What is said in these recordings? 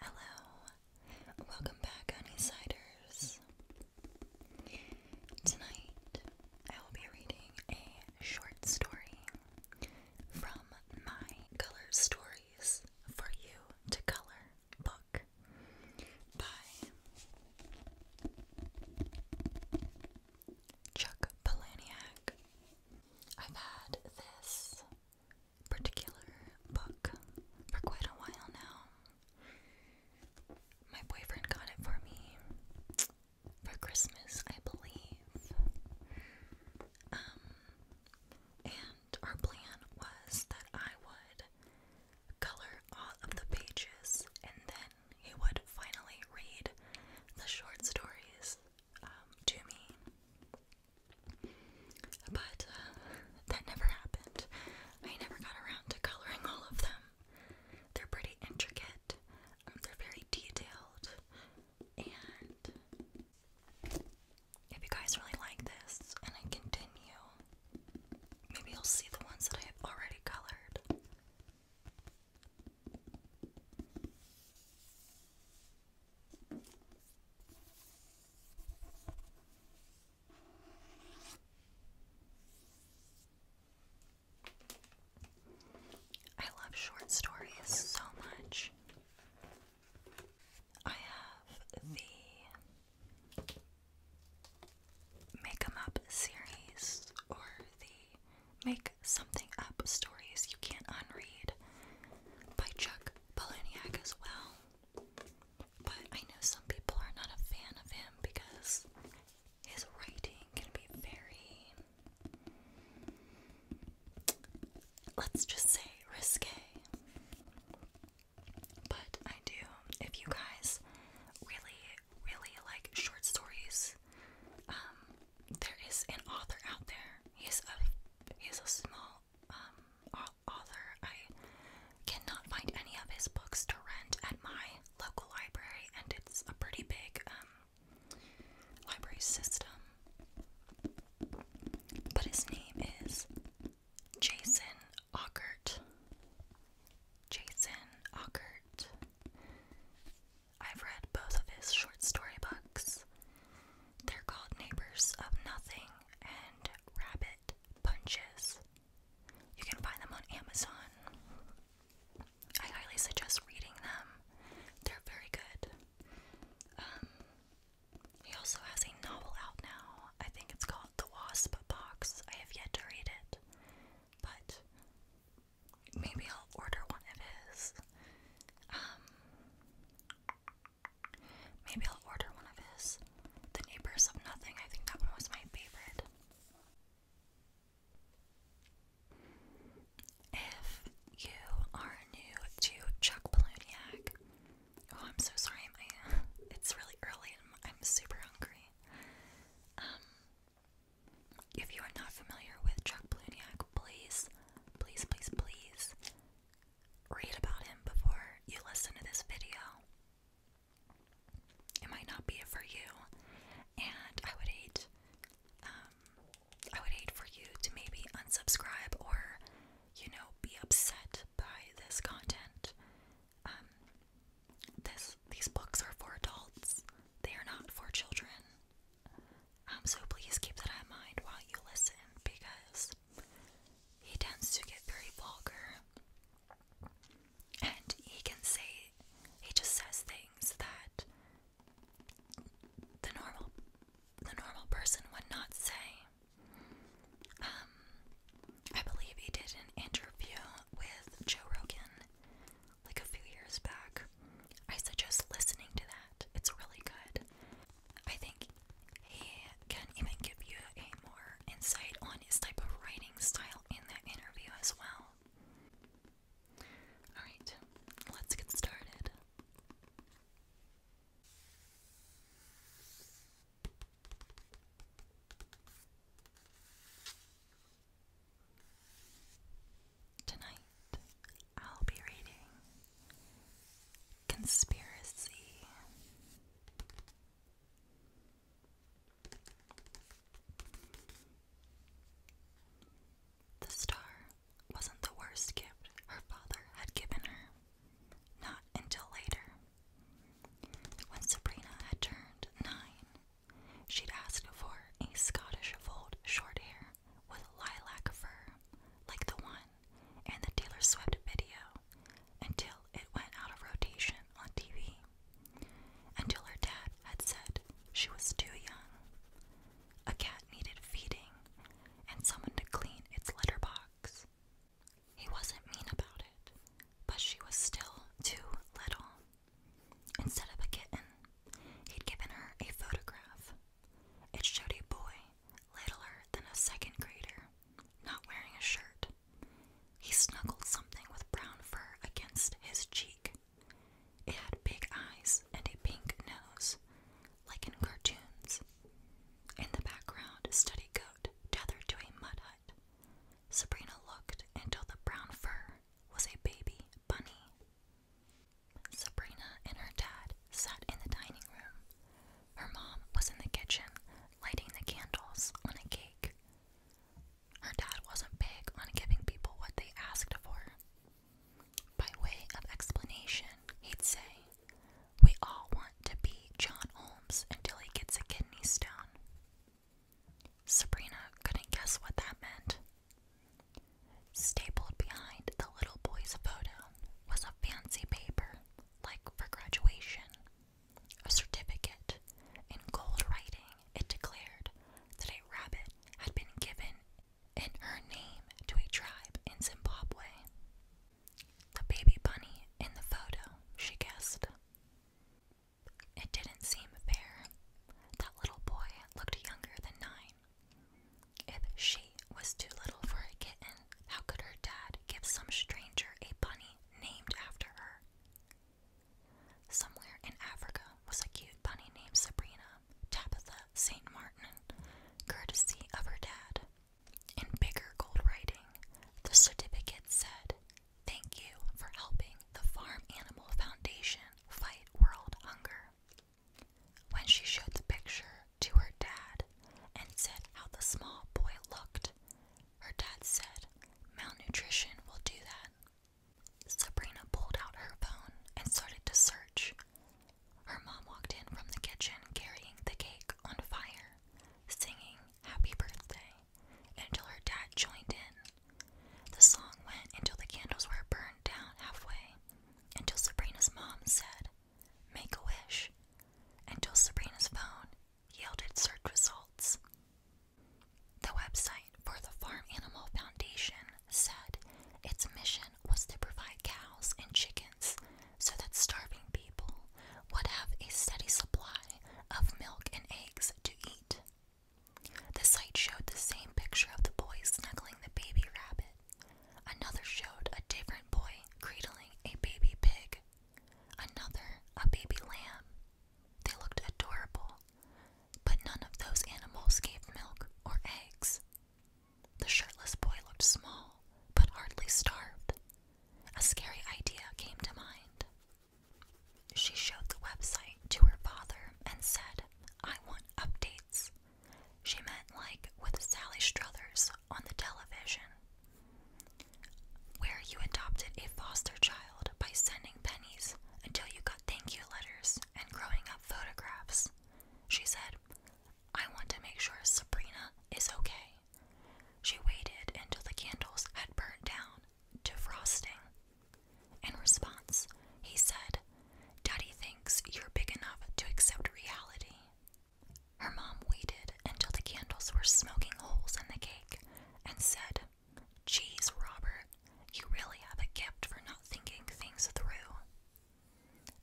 Hello, welcome back, Honeysiders. Tonight I will be reading a short story from my color stories for you to color book by Chuck Palahniuk. I've had this particular book for quite a while now. My boyfriend got it for me for Christmas, I believe. Um, and our plan was that I would color all of the pages, and then he would finally read the short stories um, to me. But uh, that never happened. I never got around to coloring all of them. They're pretty intricate, um, they're very detailed, and if you guys really like this and I continue, maybe you'll see the ones that I have already colored. I love short stories so much. I have the Make 'em Up series or the Make Something Up Stories You Can't Unread by Chuck Palahniuk as well. But I know some people are not a fan of him because his writing can be very, let's just say, risque. But I do, if you guys really, really like short stories, um, there is an author out there. He's a he's a small um author. I cannot find any of his books to rent at my local library, and it's a pretty big um library system. But his name is Jason Ockert. Jason Ockert. I've read both of his short story books. They're called Neighbors of Nothing and Rabbit Punches. You can find them on Amazon. I highly suggest reading them. They're very good. Um, he also has a novel out now. I think it's called The Wasp Box. I have yet to read it, but maybe I'll order one of his. Um, maybe I'll order one of his. The Neighbors of Nothing. I think that one was my favorite. If you are new to Chuck Palahniuk, Oh, I'm so sorry. it's really early and I'm super hungry. Um, if you are not familiar with Chuck Palahniuk, please, please, please, please read about him before you listen to this video. It might not be for you, and I would hate, um, I would hate for you to maybe unsubscribe or, you know, be upset by this content. Um, this these books are for adults. They are not for children. Um, so please keep that in mind while you listen because he tends to get very vulgar and he can say he just says things that the normal the normal person would not say. Um, I believe he did an interview with Joe Rogan like a few years back. I suggest listening to that, it's really good. I think he can even give you a more insight on his type of writing style in that interview as well. Alright, let's get started. Tonight, I'll be reading Conspiracy. The star wasn't the worst gift her father had given her, not until later. When Sabrina had turned nine, she'd asked for a Scottish fold short hair with lilac fur, like the one in the dealer swept video, until it went out of rotation on TV. Until her dad had said she was too young. A cat needed feeding and someone to clean its litter box. He wasn't mean about it, but she was still too little. Instead of a kitten, he'd given her a photograph. It showed a boy, littler than a second grader, not wearing a shirt. He snuggled something with brown fur against his cheek. It had big eyes and a pink nose, like in cartoons. In the background a study goat tethered to a mud hut. Sabrina looked until the brown fur was a baby bunny. Sabrina and her dad sat in the dining room. Her mom was in the kitchen lighting the candles on a cake. Her dad wasn't big on giving people what they asked for. By way of explanation, he'd say, we all want to be John Holmes until he gets a kidney stone. Sabrina couldn't guess what that meant. Stapled behind the little boy's photo was a fancy paper, like for graduation. A certificate. In gold writing, it declared that a rabbit had been given in her name to a tribe in Zimbabwe. The baby bunny in the photo, she guessed. It didn't seem fair. That little boy looked younger than nine. If she was too little for a kitten, how could her dad give some stranger a bunny named after her? Somewhere in Africa was a cute bunny named Sabrina, Tabitha St. Martin, courtesy of her dad, in bigger gold writing, the certificate said, Thank you for helping the Farm Animal Foundation fight world hunger. When she showed the picture to her dad and said how the small boy looked, her dad said, Malnutrition will do that. Sabrina pulled out her phone and started to search. Her mom walked in from the kitchen carrying the cake on fire, singing, Happy Birthday until her dad joined in. The song went until the candles were burned down halfway, until Sabrina's mom said, Make a wish, until Sabrina's phone yielded search results. The website for the Farm Animal Foundation said its mission was to provide cows and chickens so that starving people would have a steady supply of milk and eggs to eat. The site showed the same picture of the boy snuggling the baby rabbit. Another showed a different boy cradling a baby pig. Another, a baby lamb. They looked adorable, but none of those animals gave milk or eggs. The shirtless boy looked small, but hardly starved. A scary idea came to mind. She showed the website to her father and said, I want updates. She meant like with Sally Struthers on the television, where you adopted a foster child by sending pennies until you got thank you letters and growing up photographs. She said, I want to make sure Sabrina is okay. She waited until the candles had burned down to frosting. In response, he said, Daddy thinks you're big enough to accept reality. Her mom waited until the candles were smoking holes in the cake and said, "Jeez, Robert, you really have a gift for not thinking things through.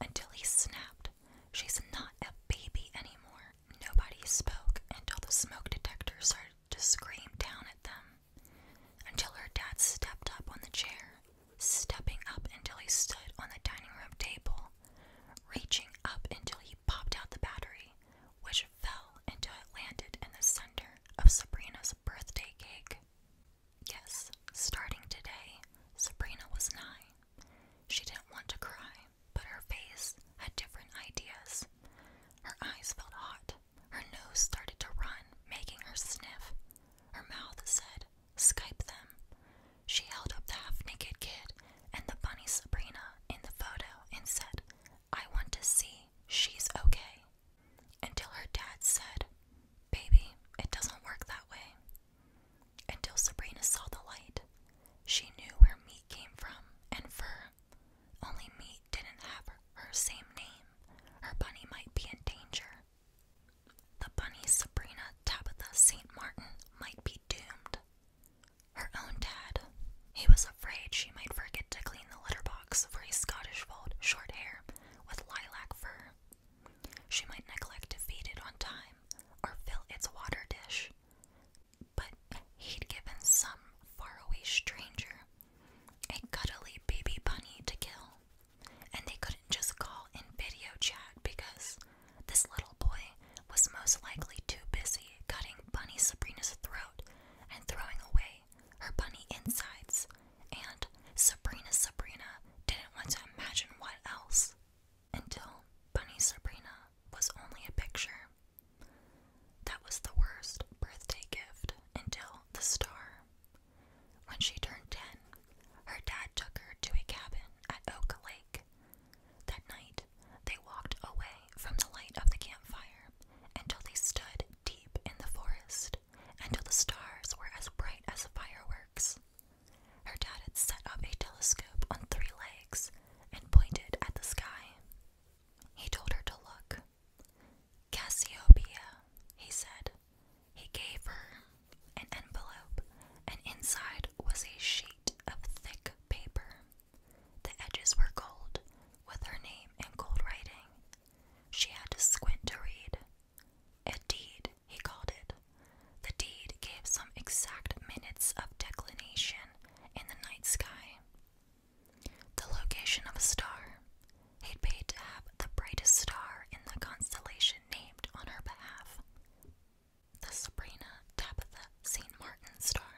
Until he snapped She's not a baby anymore. Nobody spoke until the smoke detector started to scream down at them. Until her dad stepped up on the chair, stepping up until he stood on the dining room table, reaching up until he popped out the battery, which fell until it landed in the center of Sabrina's birthday cake. Yes, starting today, Sabrina was nine. She didn't want to cry but her face had different ideas. Her eyes felt hot. Her nose started to run, making her sniff. Her mouth said, Skype them. She held up the half naked kid and the bunny Sabrina in the photo and said, I want to see she's okay. Until her dad said, Baby, it doesn't work that way. Until Sabrina saw the light, she knew where meat came from and fur. Only meat didn't have her same name. Her bunny might be in danger. The bunny Sabrina Tabitha St. Martin might be doomed. Her own dad. He was afraid she might forget to clean the litter box for his Scottish fold short hair with lilac fur. She might neglect to feed it on time or fill its water dish but he'd given some faraway stranger a cuddly baby bunny to kill. And they couldn't just call in video chat because this little boy was most likely too busy cutting Bunny Sabrina's throat and throwing away her bunny insides. And Sabrina Sabrina didn't want to imagine what else until Bunny Sabrina was only a picture. That was the worst birthday gift until the star. When she turned 10, her dad took her to a cabin at Oak Lake. That night, they walked away from the light of the campfire until they stood deep in the forest, until the stars were as bright as fireworks. Her dad had set up a telescope on three legs and pointed at the sky. He told her to look. Cassiopeia, he said. He gave her an envelope, and inside was a sheet of thick paper. The edges were gold, with her name in gold writing. She had to squint to read. A deed, he called it. The deed gave some exact minutes of declination in the night sky. The location of a star. He'd paid to have the brightest star in the constellation named on her behalf. The Sabrina Tabitha St. Martin star.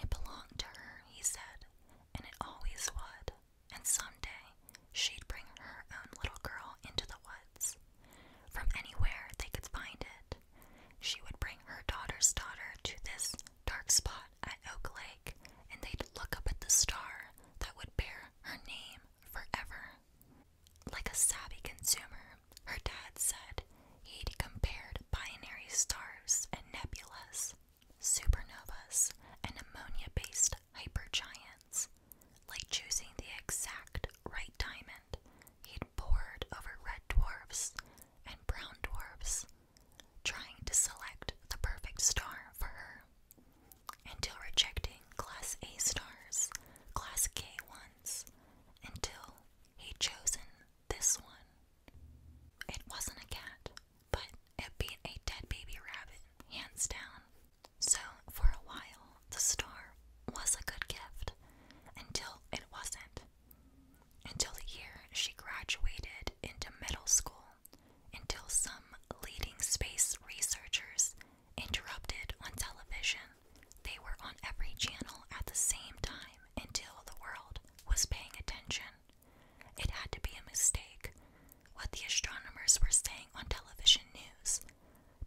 It belonged to her, he said, and it always would, and someday she'd bring her own little girl into the woods. From anywhere they could find it, she would bring her daughter's daughter to this dark spot at Oak Lake, and they'd look up at the star that would bear her name forever. Like a savvy consumer, her dad said he'd compared binary stars and nebulas, supernovas, and ammonia based hypergiants. Like choosing the exact right diamond, he'd pored over red dwarfs and brown dwarfs, trying to select the perfect star for her, until rejecting Class A stars, Class K ones, until he'd chosen this one. It wasn't a cat, but it beat a dead baby rabbit, hands down. So, for a while, the star was a good gift until it wasn't until the year she graduated into middle school, until some leading space researchers interrupted on television. They were on every channel at the same time until the world was paying attention. It had to be a mistake. What the astronomers were saying on television news.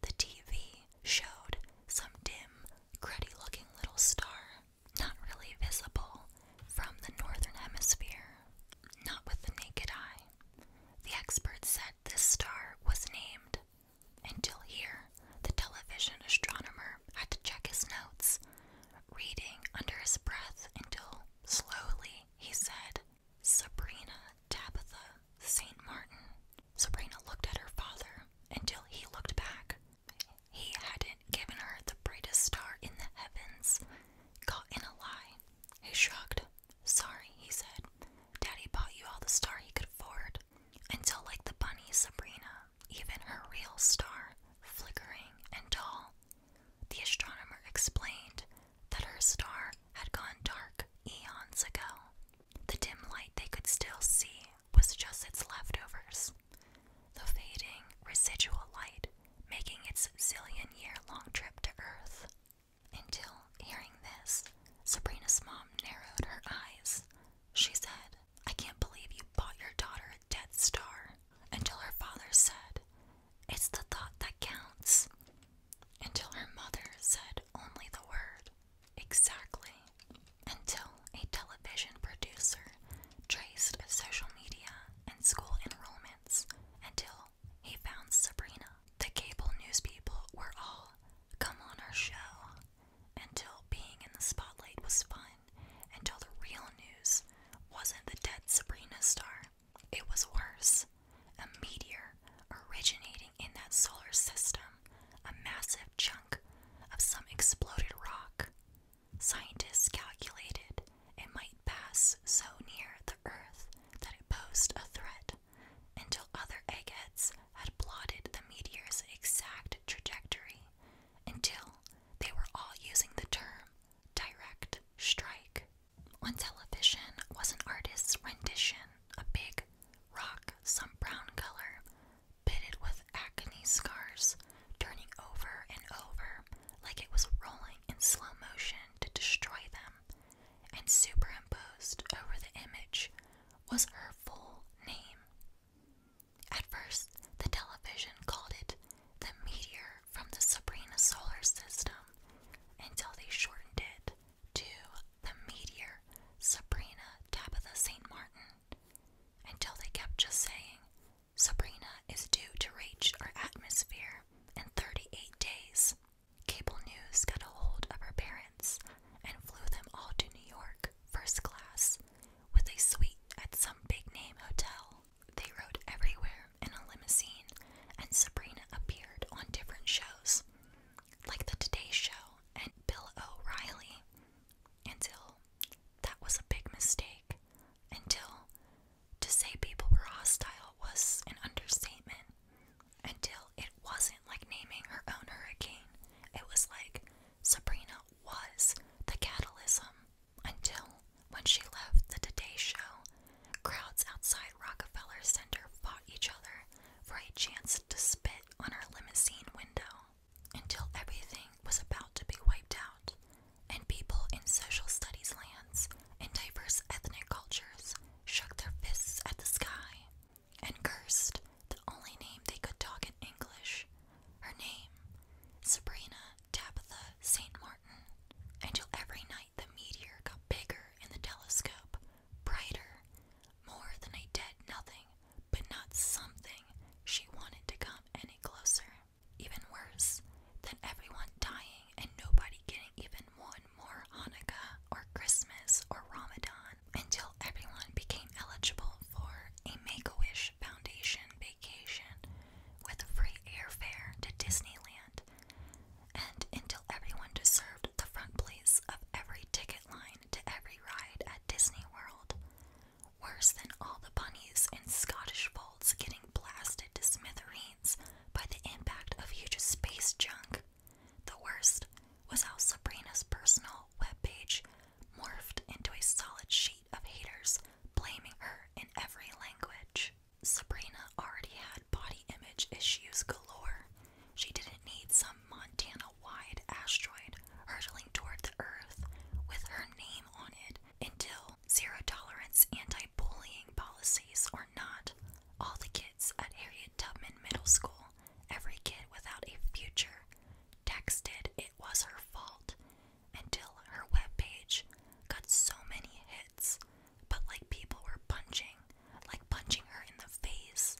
The TV showed some dim cruddy looking little star, not really visible from the northern hemisphere, not with the naked eye. The expert said this star was named. Until here, the television astronomer had to check his notes, reading under his breath until slowly he said, Sabrina Tabitha St. Martin Sabrina looked at her father until he looked back. He hadn't given her the brightest star in the heavens. Caught in a lie, he shrugged. Sorry, he said. Daddy bought you all the star he could afford. Until, like the bunny Sabrina, even her real star, flickering and tall, the astronomer explained that her star had gone dark eons ago. The dim light they could still see was just its leftovers, the fading residual light making its zillion year long trip to Earth. Until hearing this, Sabrina's mom narrowed her eyes. She said, I can't believe you bought your daughter a dead Star. Until her father said, It's the thought that counts. Until her mother said only the word, Exactly. Until a television producer traced social media and school enrollments until he found Sabrina. The cable news people were all, come on our show, until being in the spotlight was fun, until the real news wasn't the dead Sabrina star. It was worse. A meteor originating in that solar system a massive chunk of some exploded rock. Scientists calculated it might pass so near the Earth that it posed a threat until other eggheads had plotted the meteor's exact trajectory until they were all using the term direct strike. On television was an artist's rendition, a big rock, some brown color, pitted with acne scars, turning over and over like it was rolling in slow motion to destroy them, and superimposed over the image was her full name. At first, the television called it the meteor from the Sabrina solar system until they shortened it to the meteor Sabrina Tabitha St. Martin until they kept just saying, Sabrina is due to reach our atmosphere in 38 days. Cable News got a hold of her parents and flew them all to New York first class with a suite at some big name hotel. They rode everywhere in a limousine, and Sabrina appeared on different shows, like The Today Show and Bill O'Reilly, until that was a big mistake. Until to say people were hostile was an understatement. Until it wasn't like naming her own hurricane, it was like Sabrina was the catalyst. Until when she left the Today Show, crowds outside Rockefeller Center fought each other for a chance to spit on her limousine window until everything was about to be wiped out, and people in social studies lands and diverse ethnic cultures shook their fists at the sky and cursed the only name they could talk in English her name, Sabrina Tabitha St. Martin, until every night the meteor got bigger in the telescope, brighter, more than a dead nothing but not something she wanted to come any closer. Even worse than everyone dying and nobody getting even one more Hanukkah or Christmas or Ramadan until everyone became eligible for a Make a Wish Foundation vacation with free airfare to Disneyland, and until everyone deserved the front place of every ticket line to every ride at Disney World. Worse than all the bunnies and Scottish folds getting blasted to smithereens by the impact of huge space junk. The worst was how Sabrina's personal webpage morphed into a solid sheet of haters blaming her in every language. Sabrina already had body image issues galore. She didn't need some Montana wide asteroid hurtling toward the Earth with her name on it until zero tolerance anti bullying policies or not. All the kids at Harriet Tubman Middle School, every kid without a future, texted it was her fault until her webpage got so many hits. But like people were punching, like punching her in the face,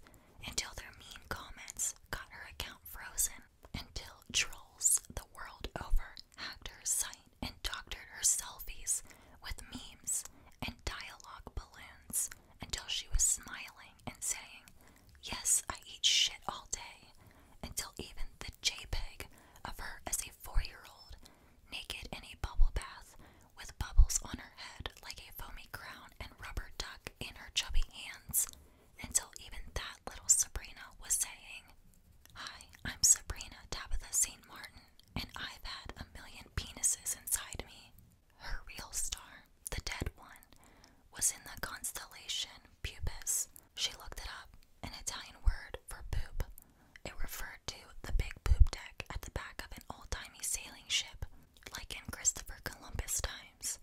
until their mean comments got her account frozen, until trolls the world over hacked her site and doctored her selfies with memes and dialogue balloons until she was smiling and saying, Yes, I eat shit all day, until even the JPEG of her as a four year old, naked in a bubble bath with bubbles on her head like a foamy crown and rubber duck in her chubby hands, until even that little Sabrina was saying, Hi, I'm Sabrina Tabitha St. Martin, and I've had a million penises inside me. Her real star, the dead one, was in the constellation Pubis. She looked it up, an Italian word for poop. It referred to the big poop deck at the back of an old timey sailing ship, like in Christopher Columbus times.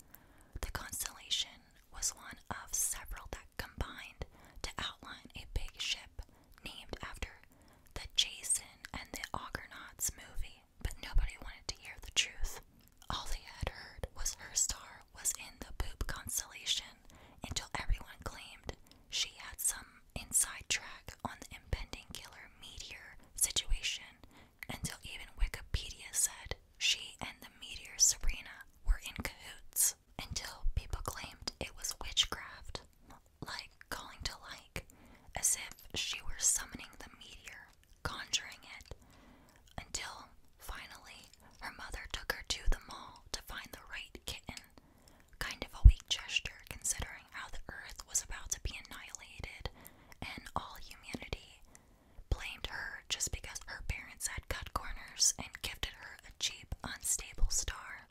The constellation was one of several that combined to outline a big ship named after the Jason and the Argonauts movie, but nobody wanted to hear the truth. All they had heard was her star was in the poop constellation until everyone claimed she had some inside track on the impending killer meteor situation until even Wikipedia said she and the meteor Serena were in cahoots until people claimed it was witchcraft, like calling to like, as if she were summoning the meteor, conjuring it, until finally her mother took her to the mall to find the right kitten. Kind of a weak gesture considering how the earth was about to be annihilated and all humanity blamed her just because her parents had cut corners and gifted her a cheap, unstable star.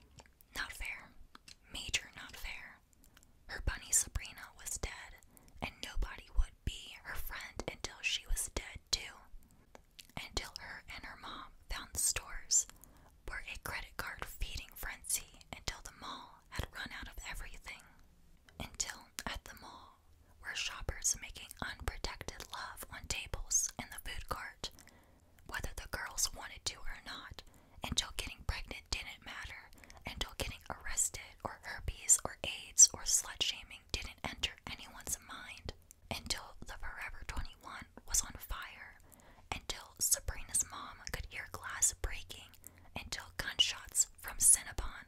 Not fair. Major not fair. Her bunny Sabrina was dead, and nobody would be her friend until she was dead, too. Until her and her mom found stores where a credit card feeding frenzy until the mall had run out of everything. Until at the mall, mall, were shoppers making unprotected love on tables in the food court, whether the girls wanted to or not, until getting pregnant didn't matter, until getting arrested or herpes or AIDS or slut shaming didn't enter anyone's mind, until the Forever 21 was on fire, until Sabrina's mom could hear glass breaking until gunshots from Cinnabon,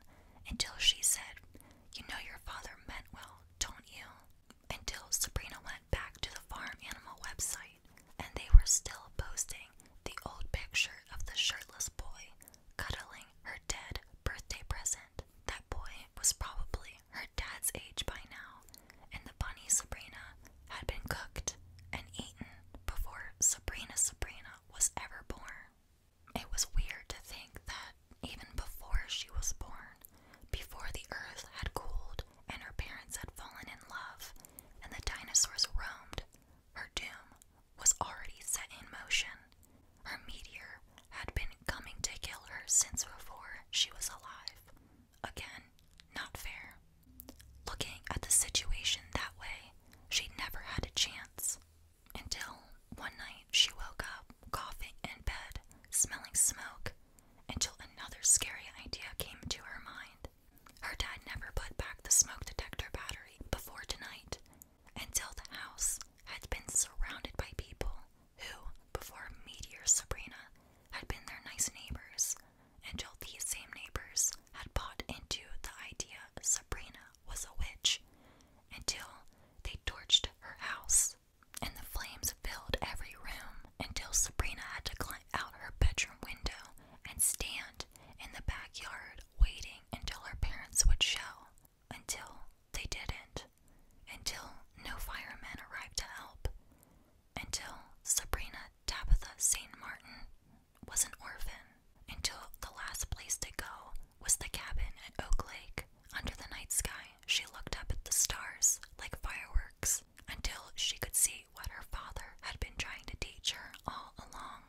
until she said, You know your father meant well, don't you? Until Sabrina went back to the farm animal website and they were still posting the old picture of the shirtless boy cuddling her dead birthday present. That boy was probably her dad's age by now, and the bunny Sabrina had been cooked and eaten before Sabrina Sabrina was ever born. It was weird to think that even before she was born, before the earth had cooled and her parents had fallen in love and the dinosaurs roamed, her doom was already set in motion. Her meteor had been coming to kill her since before she was alive. Again, not fair. Looking at the situation that way, she never had a chance. Until one night she woke up, coughing in bed, smelling smoke, until another scary idea came to her mind. Her dad never put back the smoke detector battery before tonight, until the house had been surrounded by people who, before Meteor Sabrina, had been their nice neighbors, until these same neighbors had bought into the idea Sabrina was a witch until they torched her house. And the flames filled every room until Sabrina had to climb out her bedroom window and stand in the backyard waiting until her parents would show. Until they didn't. Until no firemen arrived to help. Until Sabrina Tabitha St. Martin was an orphan until the last place to go was the cabin at Oak Lake. Under the night sky, she looked up at the stars like fireworks until she could see what her father had been trying to teach her all along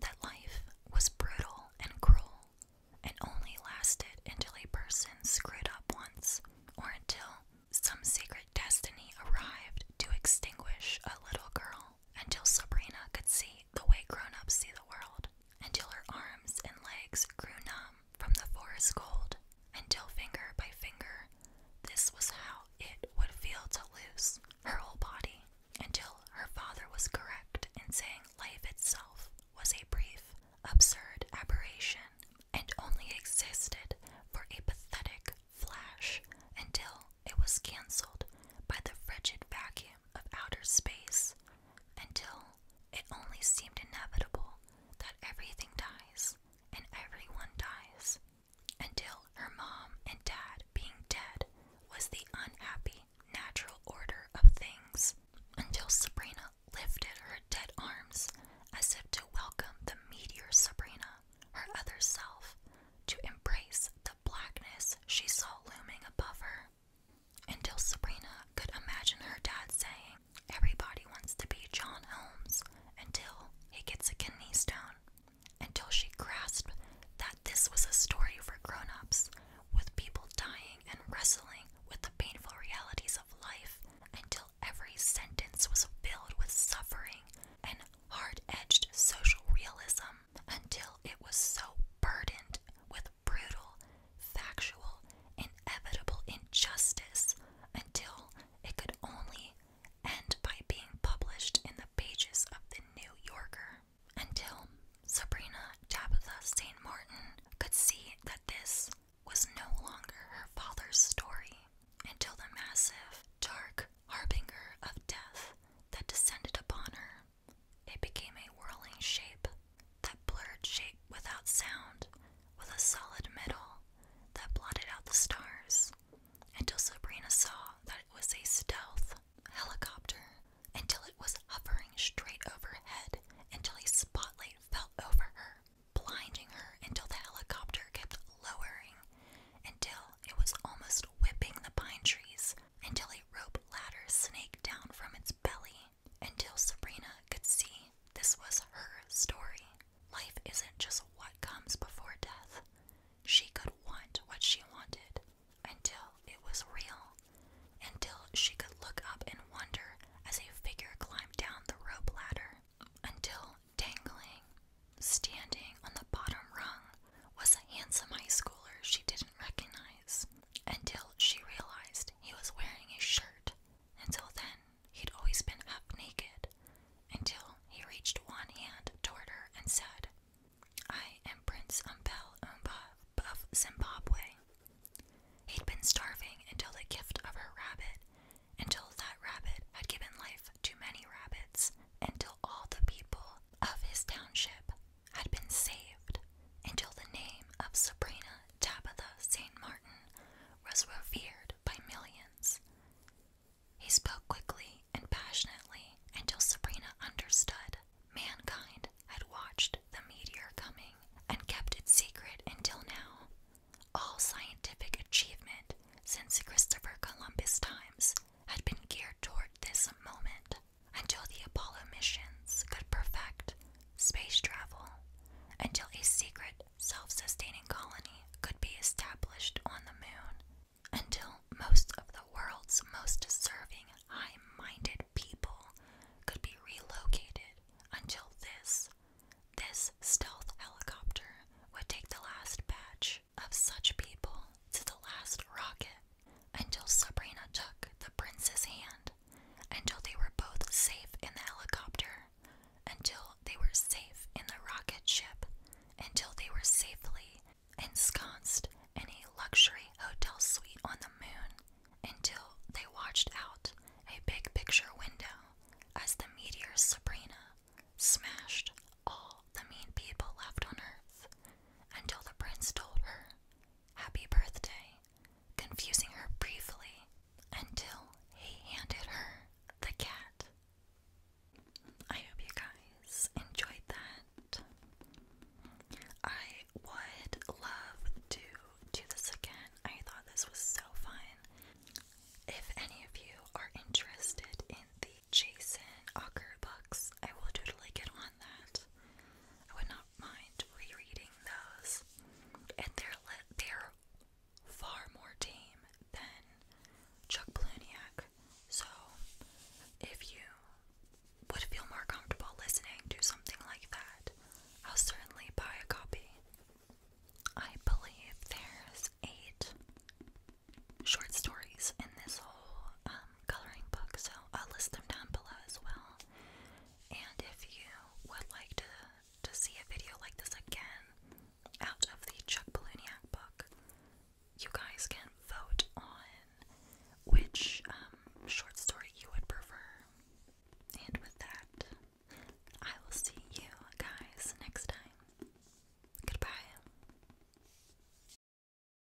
that life was brutal and cruel and only lasted until a person screwed up once or until some secret destiny arrived to extinguish a little girl until Sabrina could see the way grown ups see the world, until her arms and legs grew numb from the forest cold, until finger by finger, this was how it would feel to lose her whole body, until her father was correct in saying life itself was a brief, absurd aberration and only existed for a pathetic flash until it was cancelled by the frigid vacuum of outer space until it only seemed inevitable that everything dies and everyone dies. Until her mom and dad being dead was the unhappy natural order of things. Until Sabrina lifted her dead arms as if to welcome the meteor Sabrina, her other self, to embrace the blackness she saw looming above her. Until Sabrina could imagine her dad saying, Everybody wants to be John Elms until he gets a kidney stone. Until she grasped that this was a story for grown ups, with people dying and wrestling with the painful realities of life, until every sentence was filled with suffering and hard edged social realism until it was so burdened with brutal, factual, inevitable injustice until it could only end by being published in the pages of the New Yorker. Until Sabrina Tabitha St. Martin could see that this was no longer her father's story, until the massive, dark harbinger of death that descended upon her it became a whirling shape, that blurred shape without sound, with a solid middle that blotted out the stars, until Sabrina saw that it was a stealth helicopter, until it was hovering straight overhead, until a spotlight fell over her, blinding her until the helicopter kept lowering, until it was almost whipping the pine trees until a rope ladder snaked down from its belly, until Sabrina could see this was her story. Life isn't just what comes before death. She could want what she wanted until it was real, until she could look up and wonder as a figure climbed down the rope ladder, until dangling, standing on the bottom rung was a handsome high schooler she didn't recognize until she realized he was wearing a shirt. Until then, he'd always been up naked until he reached one hand toward her and said, I am Prince Umbel Umba of Zimbabwe. He'd been starving until the gift of her rabbit, until that rabbit had given life to many rabbits, until all the people of his township had been saved until the name of Sabrina Tabitha St. Martin was revered by millions. He spoke quickly and passionately until Sabrina understood mankind had watched the meteor coming and kept it secret until now. All scientific achievement since Christopher Columbus' times had been geared toward this moment until the Apollo missions could perfect space travel, until a secret, self sustaining colony could be established on the moon, until most of the world's most deserving, high minded people could be relocated, until this, this stealth helicopter would take the last batch of such people to the last rocket until Sabrina took the prince's hand, until they were both safe in the helicopter, until they were safe in the rocket ship, until they were safely ensconced in a luxury hotel suite on the moon, until they watched out a big picture window as the meteor Sabrina smashed all the mean people left on Earth, until the prince told her Happy birthday, confusing her briefly until he handed her the cat. I hope you guys enjoyed that. I would love to do this again. I thought this was so fun. If any of you are interested in the Jason Ocker books, I will totally get on that. I would not mind rereading those. And they're they're far more tame than Chuck Palahniuk. So if you would feel more comfortable listening to something like that, I'll certainly buy a copy. I believe there's eight short stories in this whole um, coloring book, so I'll list them down below as well. And if you would like to to see a video like this again out of the Chuck Palahniuk book, you guys can vote on which um, short story you would prefer. And with that, I will see you guys next time. Goodbye.